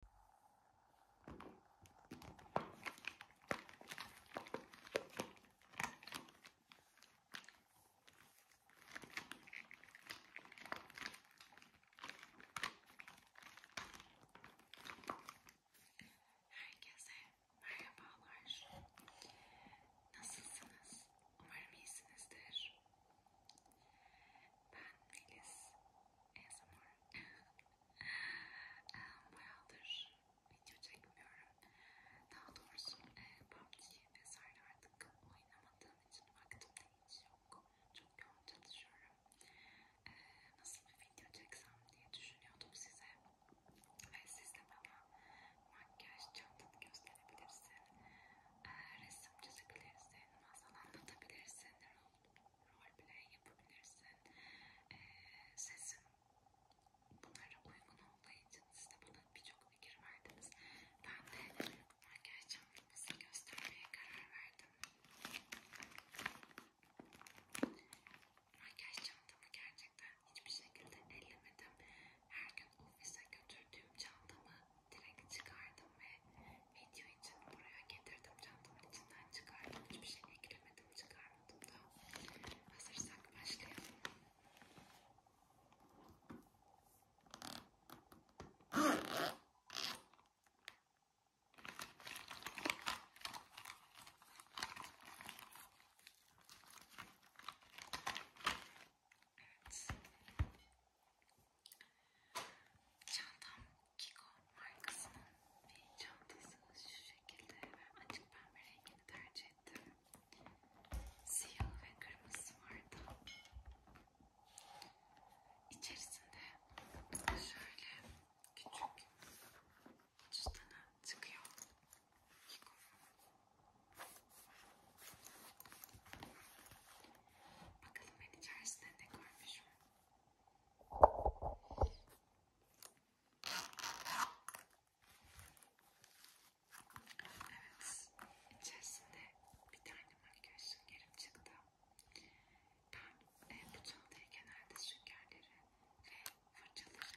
Herkese merhabalar. Nasılsınız? Umarım iyisinizdir. Ben Melis. ASMR. Bayağıdır video çekmiyorum. Daha doğrusu e, PUBG vesaire artık oynamadığım için vaktim de hiç yok. Çok yoğun çalışıyorum. E, nasıl bir video çeksem diye düşünüyordum size. Ve siz de bana makyaj çantanı gösterebilirsin. E, resim çizebilirsin, masal anlatabilirsin, rol play yapabilirsin. E, sesim bunlara uygun olduğu için siz de bana birçok fikir verdiniz. Ben de makyaj çantamızı göstermeye karar verdim. Makyaj çantamı gerçekten hiçbir şekilde ellemedim. Her gün ofise götürdüğüm çantamı direkt çıkardım ve video için buraya getirdim çantamın içinden çıkardım hiçbir şey eklemedim çıkarmadım da hazırsak başlayalım. Evet. Çantam Kiko markasının bir çantası şu şekilde ben açık pembe rengini tercih ettim. Siyah ve kırmızı vardı. İçerisinde şöyle küçük cüzdanı çıkıyor. Kiko. Bakalım ben içerisinde ne görmüşüm. Evet, içerisinde bir tane makyaj süngerim çıktı. Ben e, bu çantaya genelde süngerleri ve fırçaları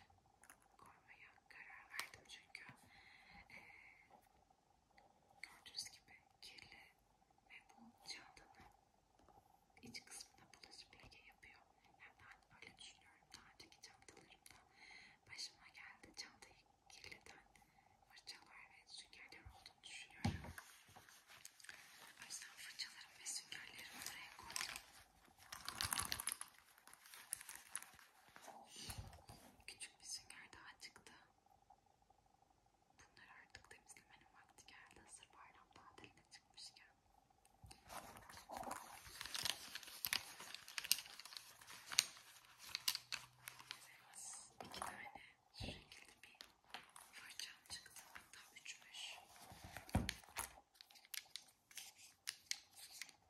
koymaya karar verdim çünkü e, gördüğünüz gibi kirli ve bu çantanın iç kısmına bulaşıp leke yapıyor. Yani ben öyle düşünüyorum. Daha önceki çantalarımda başıma geldi. Çantayı kirleten fırçalar ve süngerler olduğunu düşünüyorum. O yüzden fırçalarım ve süngerlerimi buraya koydum. Küçük bir sünger daha çıktı. Bunları artık temizlemenin vakti geldi. Hazır bayram tatiline çıkmışken. Evet, iki tane şu şekilde bir fırçam çıktı. Hatta üçmüş. Golden Rose markasının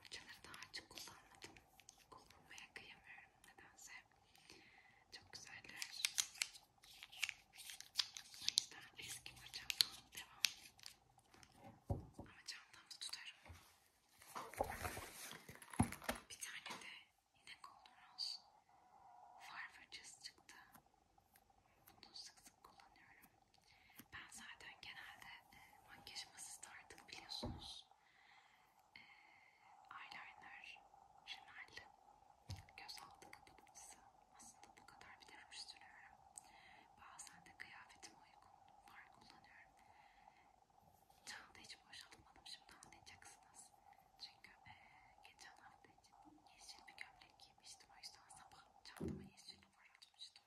Fırçaları daha açık kullanmadım. Kullanmaya kıyamıyorum nedense. Çok güzeller. O yüzden eski fırçamdan devam. Ama çantamı tutarım. Bir tane de yine Golden Rose far fırçası çıktı. Bunu sık sık kullanıyorum. Ben zaten genelde e, makyajımı sizde artık biliyorsunuz eyeliner, şemel, göz altı kapatıcısı. Aslında bu kadar bir ürün sürüyorum. Bazen de kıyafetime uygun far kullanıyorum. Çanta hiç boşaltmadım şimdi anlayacaksınız. Çünkü e, geçen hafta için yeşil bir gömlek giymiştim. O yüzden sabah çantama yeşil far atmıştım.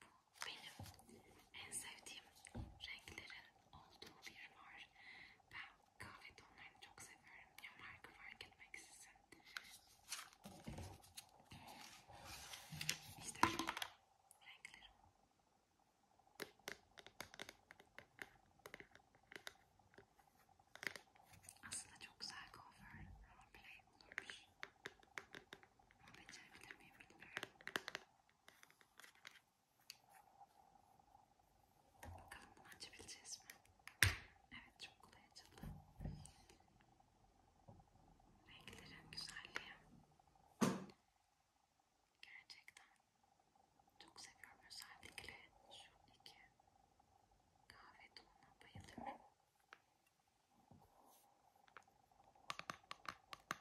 Bu benim en sevdiğim renklerin olduğu bir var. Ben kahve tonlarını çok seviyorum. Ya marka fark etmeksizin. İşte renklerim. Aslında çok güzel cover roleplay olurmuş. Ama Bakalım bunu açabileceğiz mi? Evet çok kolay açıldı. Renklerin güzelliği. Gerçekten çok seviyorum özellikle şu iki kahve tonuna bayılıyorum.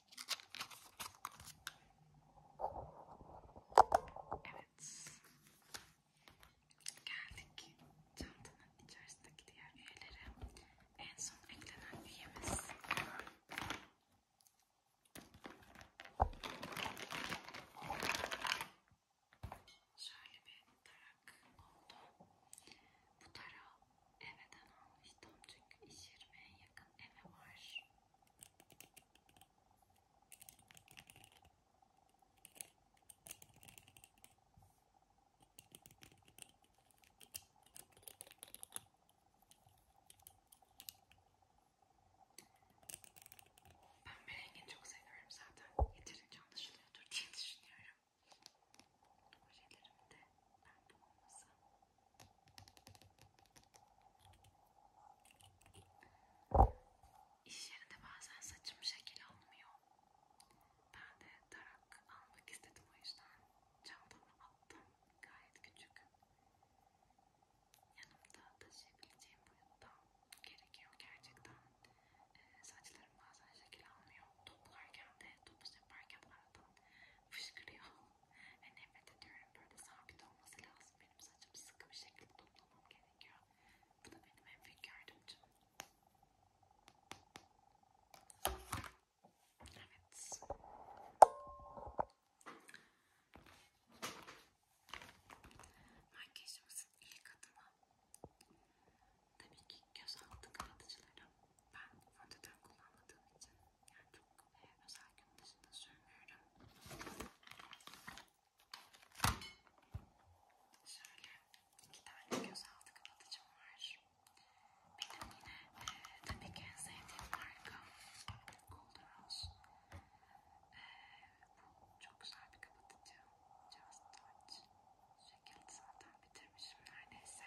Evet. Geldik çantanın içerisindeki diğer üyelere. En son eklenen üyemiz. Şöyle bir tarak oldu. Bu tarağı Evden almıştım çünkü iş yerime yakın eve var. Ben bir rengini çok seviyorum zaten. Yeterince anlaşılıyordur diye düşünüyorum. Projelerimde ben bu olmasam İş yerinde bazen saçım şekil almıyor. Ben de tarak almak istedim o yüzden çantamı attım. Gayet küçük. Yanımda taşıyabileceğim boyutta gerekiyor gerçekten. Ee, saçlarım bazen şekil almıyor. Toplarken de, topuz yaparken aradan fışkırıyor. Ve nefret ediyorum. Böyle sabit olması lazım. Benim saçım sıkı bir şekilde toplamam gerekiyor. Bu da benim en büyük yardımcım. Evet. Makyajımızın ilk adımı tabii ki göz altı kapatıcıları. Ben fondöten kullanmadığım için yani çok e, özel gün dışında sürmüyorum. Şöyle iki tane gözaltı kapatıcım var. Benim yine e, tabii ki en sevdiğim marka Golden Rose. E, bu çok güzel bir kapatıcı. Just Touch. Şekilde zaten bitirmişim neredeyse.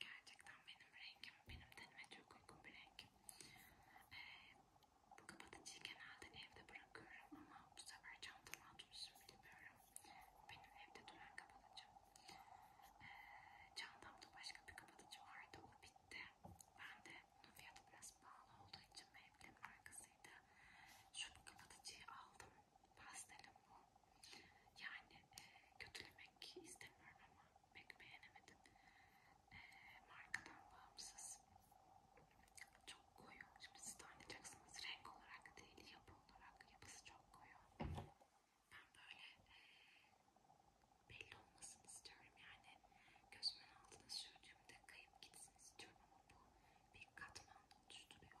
Gerçekten benim rengim, benim tenime çok uygun bir renk. Ee, bu kapatıcıyı genelde evde bırakıyorum ama bu sefer çantama atmışım bilmiyorum. Benim evde duran kapatıcım. Ee, çantamda başka bir kapatıcı vardı, o bitti. Ben de bunun fiyatı biraz pahalı olduğu için Maybelline markasıydı. Şu kapatıcıyı aldım pastelim bu. Yani e, kötülemek istemiyorum ama pek beğenemedim. E, markadan bağımsız. Çok koyu. Şimdi siz de anlayacaksınız. Renk olarak değil, yapı olarak. Yapısı çok koyu. Ben böyle e, belli olmasını istiyorum. Yani gözümün altına sürdüğümde kayıp gitsin istiyorum ama bu bir katman oluşturuyor.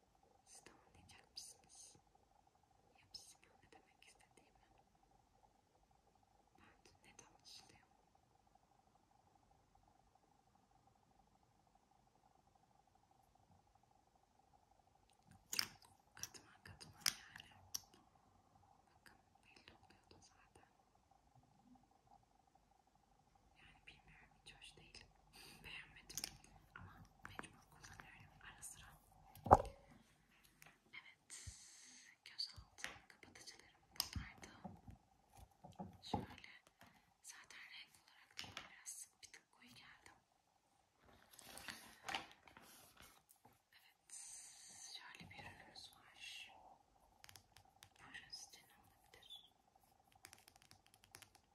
Siz de anlayacak mısınız? Yapısına ne demek istediğimi. Ben ne tanışlıyım? Katman katman yani. Bakın belli oluyordu zaten. Yani bilmiyorum hiç hoş değil. Beğenmedim ama mecbur kullanıyorum. Ara sıra Evet, gözaltı kapatıcılarım bunlardı. Şöyle, zaten renk olarak da biraz bir tık koyu geldim. Evet, şöyle bir ürünümüz var. Burası da ne olabilir?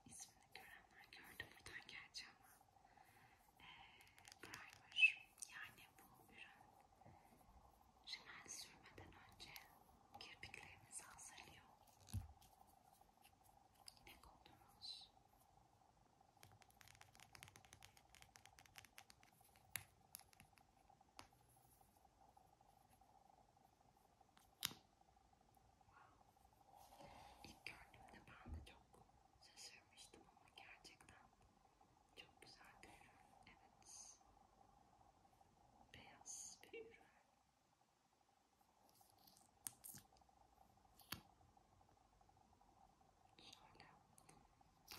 İsmini görenler gördü buradan geleceğim ama primer. Ee, yani bu ürün rimel sürmeden önce kirpiklerinizi hazırlıyor. Ne koydunuz? Wow. İlk gördüğümde ben de çok şaşırmıştım ama gerçekten çok güzel bir ürün. Evet. Beyaz bir ürün. Şöyle bu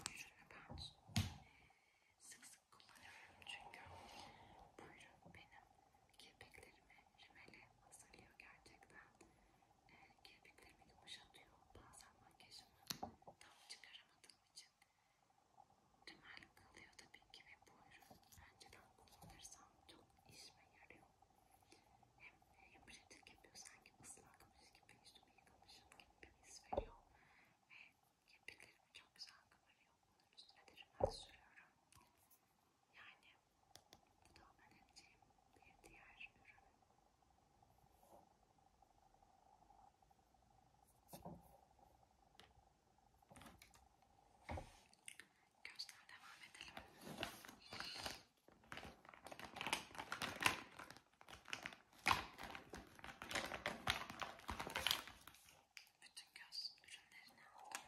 ürünü ben sık sık kullanıyorum çünkü bu ürün benim kirpiklerimi rimeli hazırlıyor gerçekten e, kirpiklerimi yumuşatıyor. Bazen makyajımı tam çıkaramadığım için tümel kalıyor tabii ki ve bu ürün önceden kullanırsam çok işime yarıyor. Hem, hem pratik yapıyor sanki ıslakmış gibi üstüme yıkamışım gibi bir his veriyor ve kirpiklerimi çok güzel kıvırıyor. Bunun üstüne de rümen sürüyorum. Yani bu da önereceğim bir diğer ürün. Gözden devam edelim. Bütün göz ürünlerini aldım.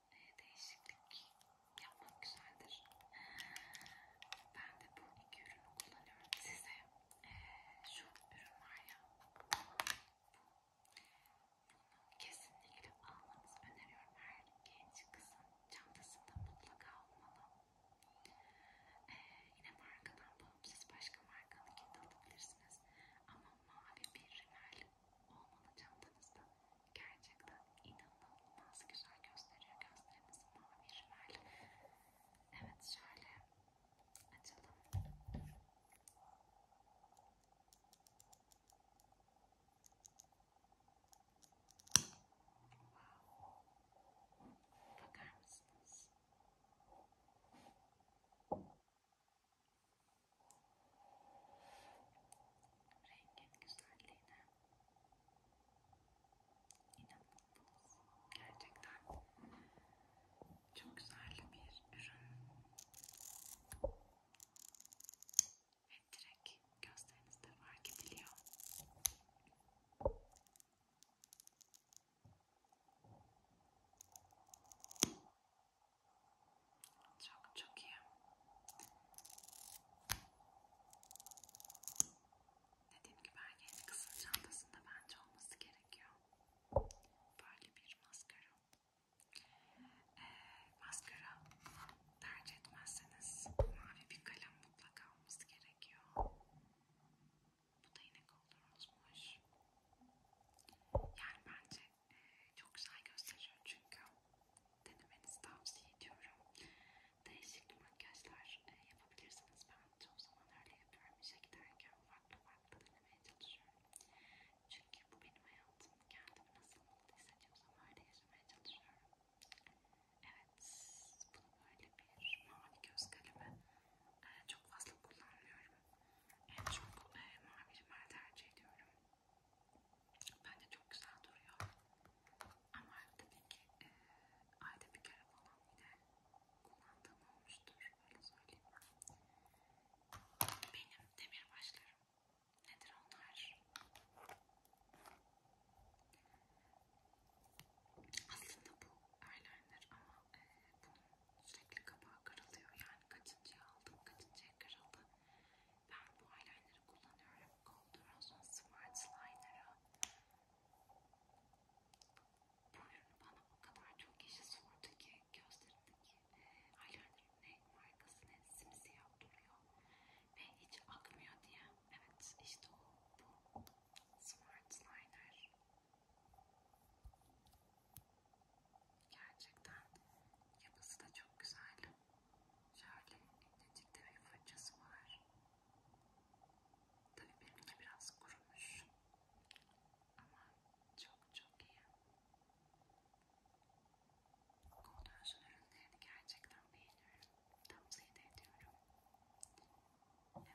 Ee, değişiklik yapmak güzeldir. Ben de bu iki ürünü kullanıyorum. Size e, şu ürün var ya, bunu kesinlikle almanızı öneriyorum. Her genç kızın çantasında mutlaka olmalı. E, yine markadan bağımsız başka markanınkini de alabilirsiniz. Ama mavi bir rimel olmalı çantanızda. Gerçekten inanılmaz güzel gösteriyor. Gözlerimiz mavi rimel. Evet şöyle açalım. Wow. Bakar mısınız? Rengin güzelliğine inanılmaz. Gerçekten çok güzel bir ürün. Ve direkt gözlerinizde fark ediliyor. Çok çok iyi. Dediğim gibi erkeğin kızın çantasında bence olması gerekiyor. Böyle bir maskara. Ee, maskara tercih etmezseniz mavi bir kalem mutlaka olması gerekiyor. Bu da yine kollarımızmış. Yani bence çok güzel gösteriyor çünkü denemenizi tavsiye ediyorum. Değişik makyajlar e, yapabilirsiniz. Ben çoğu zaman öyle yapıyorum. İşe giderken farklı farklı denemeye çalışıyorum. Çünkü bu benim hayatım. Kendimi nasıl mutlu hissediyorsam öyle yaşamaya çalışıyorum. Evet, bunu böyle bir mavi göz kalemi e, çok fazla kullanmıyorum. En çok e, mavi mermer tercih ediyorum. Bence çok güzel duruyor. Ama tabii ki e, ayda bir kere falan bile kullandığım olmuştur. Öyle söyleyeyim. Benim demir başlarım. Nedir onlar? Aslında bu eyeliner ama e, bunun sürekli kapağı kırılıyor. Yani kaçıncıya aldım, kaçıncıya kırıldı. Ben bu eyeliner'ı kullanıyorum. Golden Smart Slider'ı. Bu ürünü bana o kadar çok kişi sordu ki gözlerimdeki e, eyeliner'ın ne markası ne simsiyah duruyor ve hiç akmıyor diye. Evet işte o bu Smart Liner. Gerçekten yapısı da çok güzel. Şöyle incecik bir fırçası var. Tabii benimki biraz kurumuş. Ama çok çok iyi. Koldöşün ürünlerini gerçekten beğeniyorum. Tavsiye de ediyorum. Evet.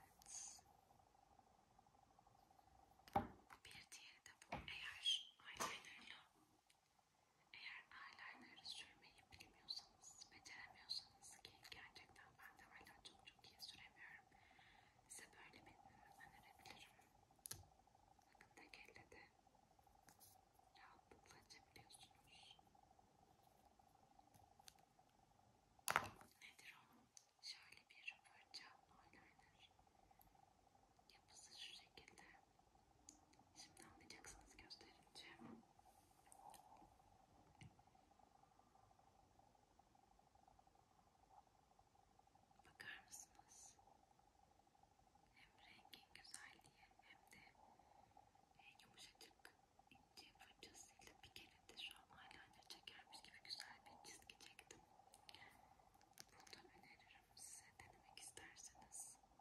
Bir diğeri de bu. Eğer eyelinerlı eğer eyeliner'ı sürmeyi bilmiyorsanız, beceremiyorsanız ki gerçekten ben de hala çok çok iyi süremiyorum. Size böyle bir ürün önerebilirim. Bakın tek elle de rahatlıkla açabiliyorsunuz. Nedir o? Şöyle bir fırça eyeliner. Yapısı şu şekilde. Şimdi anlayacaksınız gösterince. Bakar mısınız? Hem rengin güzelliği hem de e, yumuşacık ince fırçasıyla bir kere de şu an eyeliner çekermiş gibi güzel bir çizgi çektim. Bunu da öneririm size denemek isterseniz. Şu şekilde. Benim de bir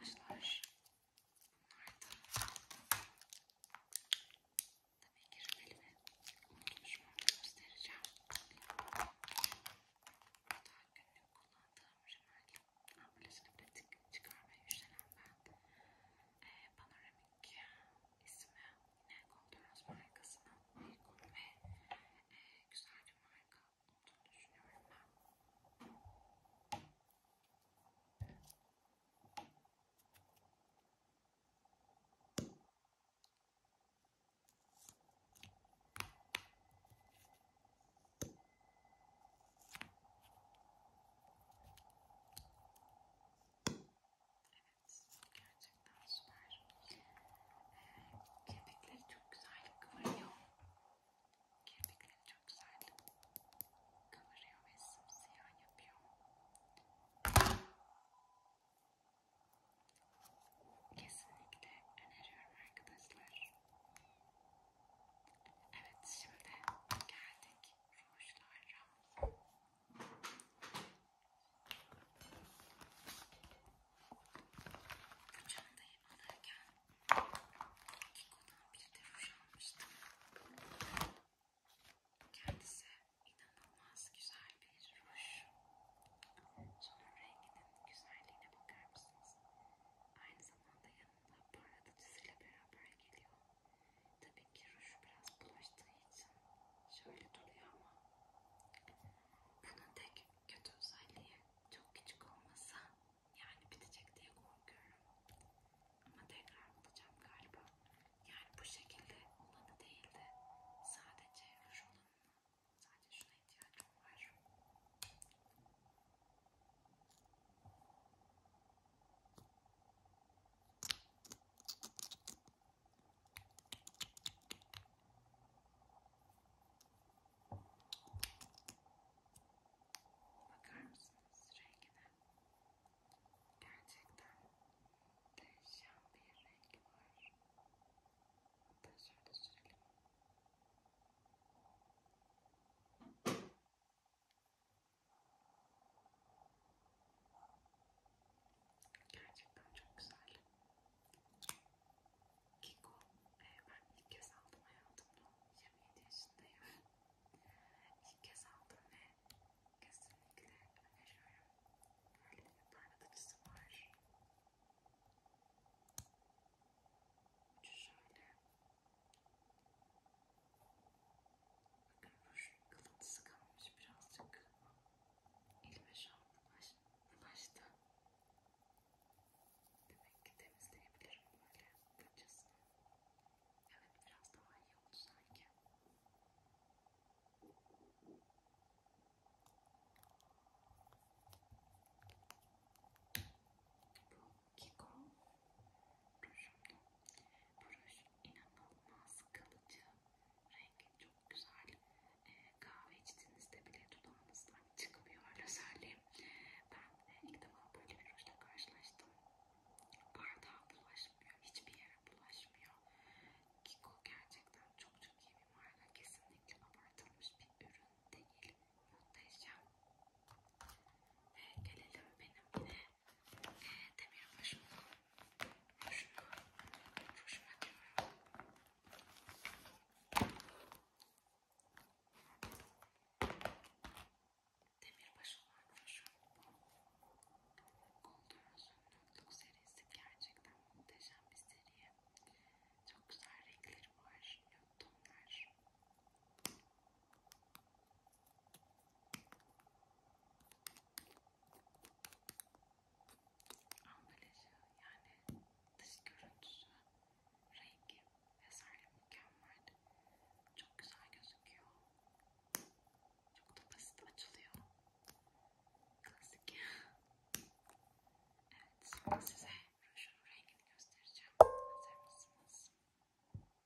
başlar. Bunlar da tabii ki rümelimi unutmuşum onu göstereceğim. Daha günlük kullandığım rümel ambalajını pratik çıkarmaya üşenen ben e, Panoramik ismi yine Golderos markasının uygun ve e, güzel bir marka olduğunu düşünüyorum ben. Evet, gerçekten süper. Ee, Kepikleri çok güzel kıvırıyor. Kepikleri çok güzel kıvırıyor ve simsiyah yapıyor. Kesinlikle öneriyorum arkadaşlar. Evet şimdi geldik rujlara. Bu çantayı alırken Kiko'dan bir de ruj almıştım. Kendisi inanılmaz güzel bir ruj. Şunun renginin güzelliğine bakar mısınız? Aynı zamanda yanına parlatıcısıyla beraber geliyor. Tabii ki ruj biraz bulaştığı için şöyle duruyor ama bunun tek kötü özelliği çok küçük olması yani bitecek diye korkuyorum. Ama tekrar bulacağım galiba. Yani bu şekilde olanı değil de sadece ruj olanını sadece şuna ihtiyacım var. Bakar mısınız rengine? Gerçekten değişen bir rengi var. Hatta şöyle sürelim. Gerçekten çok güzel. Kiko, e, ben ilk kez aldım hayatımda. 27 yaşındayım. ilk kez aldım ve kesinlikle öneriyorum. Böyle bir parlatıcısı var. Şöyle. Bakın bu kılıntısı kalmış birazcık. Elime şu an baş, başta. Demek ki temizleyebilirim böyle kılçasını. Evet biraz daha iyi oldu sanki. Bu Kiko rujumdu. Bu ruj inanılmaz kalıcı. Rengi çok güzel. E, kahve içtiğinizde bile dudağınızdan çıkmıyor öyle söyleyeyim. Ben ilk defa böyle bir rujla karşılaştım. Bardağa bulaşmıyor. Hiçbir yere bulaşmıyor. Kiko gerçekten çok çok iyi bir marka. Kesinlikle abartılmış bir ürün değil muhteşem. Ve ee, gelelim benim yine e, demirbaşıma. Hoşuma, hoşuma diyorum. Demirbaşı olan hoşum. Golden'ın Nutluk serisi gerçekten muhteşem bir seri. Çok güzel renkleri var, nöbtonlar. Ambalajı yani dış görüntüsü, rengi vesaire mükemmel. Çok güzel gözüküyor. Çok da basit açılıyor. Klasik. Evet, sonra size rujun rengini göstereceğim. Hazır mısınız?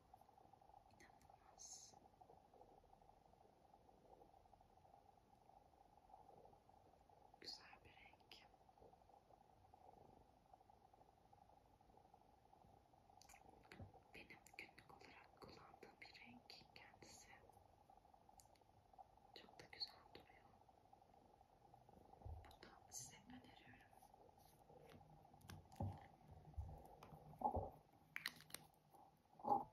İnanılmaz. Güzel bir renk. Benim günlük olarak kullandığım bir renk kendisi. Çok da güzel duruyor. Bunu size öneriyorum. Numarası ise 02 Beyti Not. Bu 02 numaram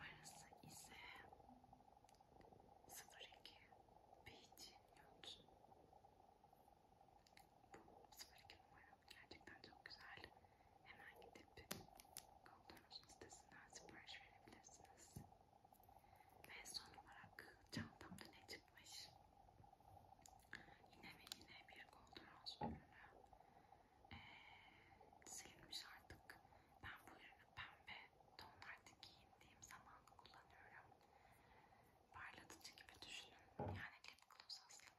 gerçekten çok güzel. Hemen gidip Goldor'un sitesinden sipariş verebilirsiniz. Ve son olarak çantamda ne çıkmış. Yine ve yine bir golden rose ürünü ee, silinmiş artık. Ben bu ürünü pembe tonlarda giyindiğim zaman kullanıyorum. Parlatıcı gibi düşünün. Yani lip gloss aslında.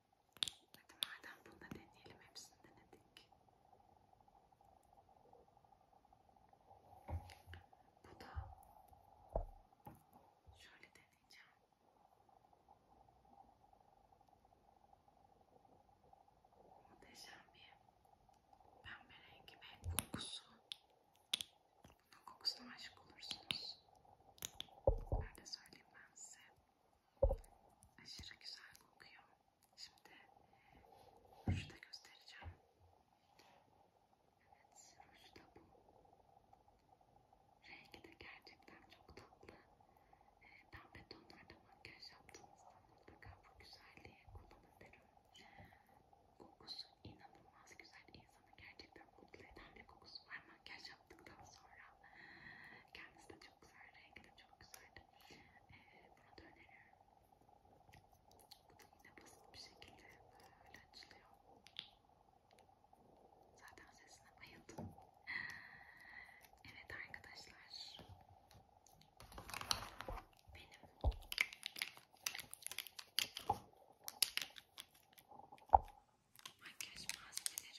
Hadi madem bunu da deneyelim, hepsini denedik. Bu da şöyle deneyeceğim. Muhteşem bir pembe rengi ve kokusu. Bunun kokusuna aşık olursunuz. Öyle söyleyeyim nedense aşırı güzel kokuyor. Şimdi ruju da göstereceğim. Evet ruju da bu. Rengi de gerçekten çok tatlı. Ee, pembe tonlarda makyaj yaptığınızda mutlaka bu güzelliği kullanın derim. Kokusu inanılmaz güzel. insanı gerçekten mutlu eden bir kokusu var makyaj yaptıktan sonra kendisi de çok güzel, rengi de çok güzeldi. Ee, bunu da öneriyorum. Bu da yine basit bir şekilde böyle açılıyor. Zaten sesine bayıldım. Evet arkadaşlar. Benim makyaj malzemelerim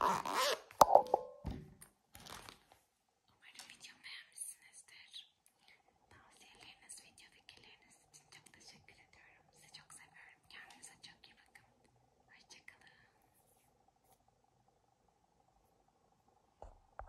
Umarım videomu beğenmişsinizdir. Tavsiyeleriniz, videodakileriniz için çok teşekkür ediyorum. Sizi çok seviyorum. Kendinize çok iyi bakın. Hoşçakalın.